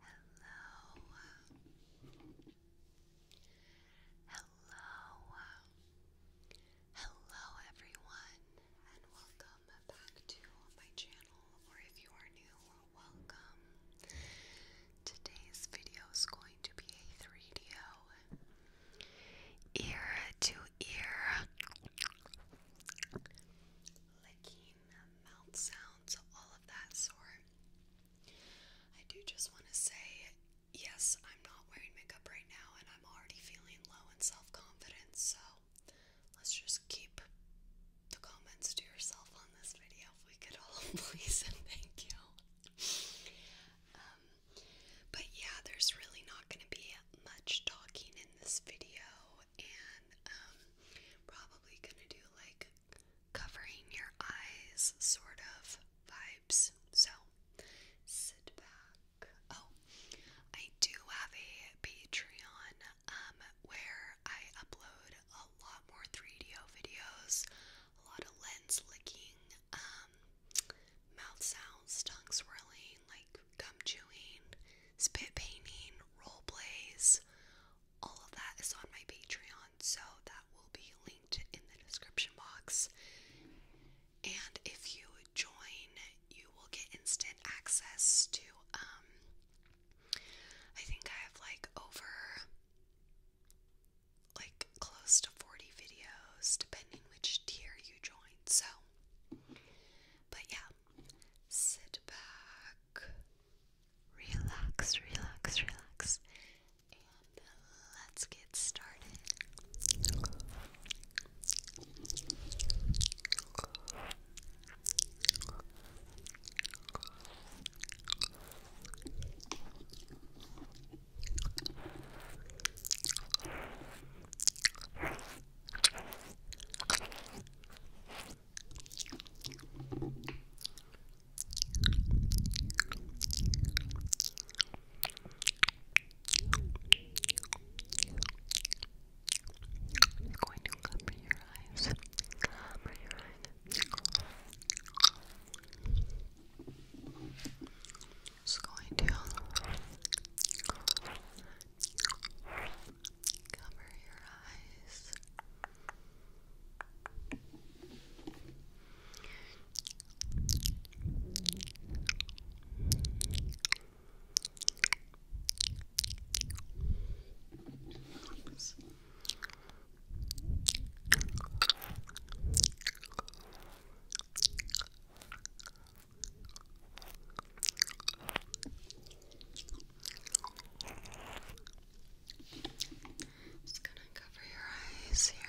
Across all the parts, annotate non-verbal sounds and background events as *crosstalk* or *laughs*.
Hello. Hello. Hello everyone and welcome back to my channel or if you are new, welcome. Today's video is going to be a 3DO ear to ear licking, uh, mouth sounds, all of that sort. I do just want to say, yes, I'm not wearing makeup right now, and I'm already feeling low in self confidence, so let's just keep the comments to yourself on this video if we could all *laughs* please and thank you. Um, but yeah, there's really not going to be much talking in this video, um, probably gonna do like covering your eyes sort of vibes. So sit back. Oh, I do have a Patreon um where I upload a lot more 3DO videos, a lot of lens licking, um, mouth sounds, tongue swirling, like gum chewing, spit painting, role plays. All of that is on my Patreon, so that will be linked in the description box. And if you join, you will get instant access to um I think I have like over like close to 40 videos depending which tier you join. So but yeah, sit back, relax, relax, relax, and let's get started. I'm going to cover your eyes. Cover your eyes. Just going to Cover your eyes. Oops. Just gonna cover your eyes here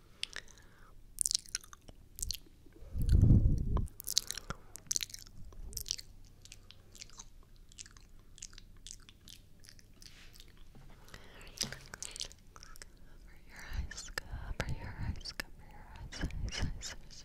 your eyes, cover your eyes, cover your eyes, eyes, eyes, eyes. relax, relax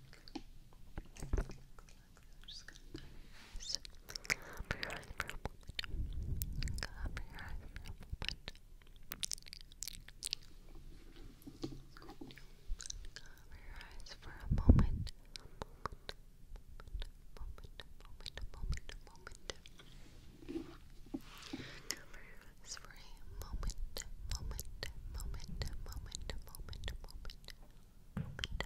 just going cover your eyes for a moment. Cover your eyes for a moment. Cover your eyes for a moment. Moment, moment, moment, moment, moment, moment, moment moment, moment, moment.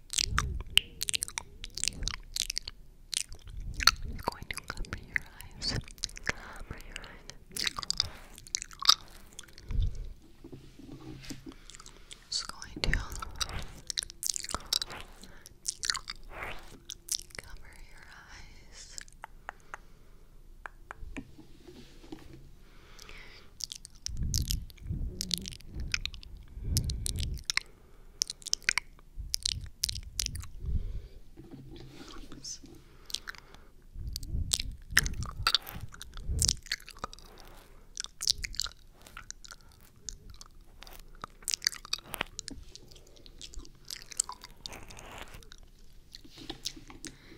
I'm going to cover your eyes. Cover your eyes. Just going to cover your eyes. Oops.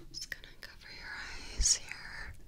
Just gonna cover your eyes here.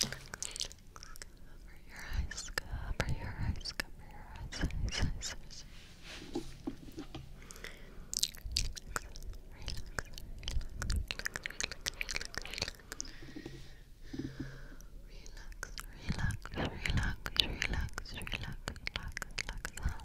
Cover your eyes, cover your eyes, cover your eyes, relax, relax, relax, relax, relax, relax,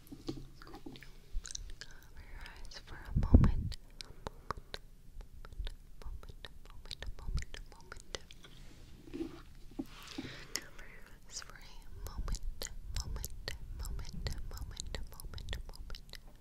going to cover your eyes for a moment. A moment, moment, moment, moment, moment, moment. moment, moment, moment, moment, moment, moment. Moment, moment, moment.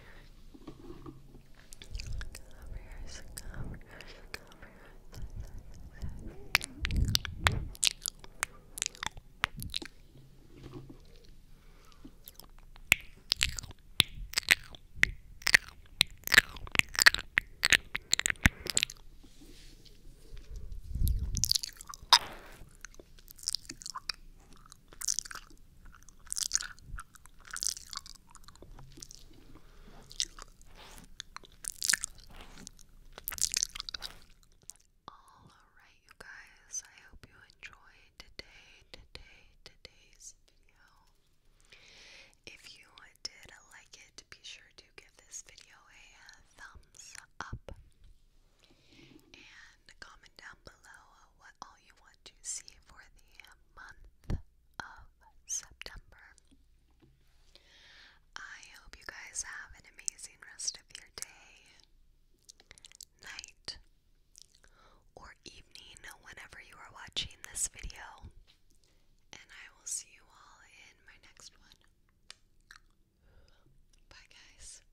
Cover yours, cover yours, cover yours. Alright, you guys, I hope you enjoyed today, today, today's video. If you did like it, be sure to give this video a thumbs up. And and comment down below what all you want to see for the month of September. I hope you guys have an amazing rest of your day, night, or evening whenever you are watching this video. And I will see you all in my next one. Bye, guys.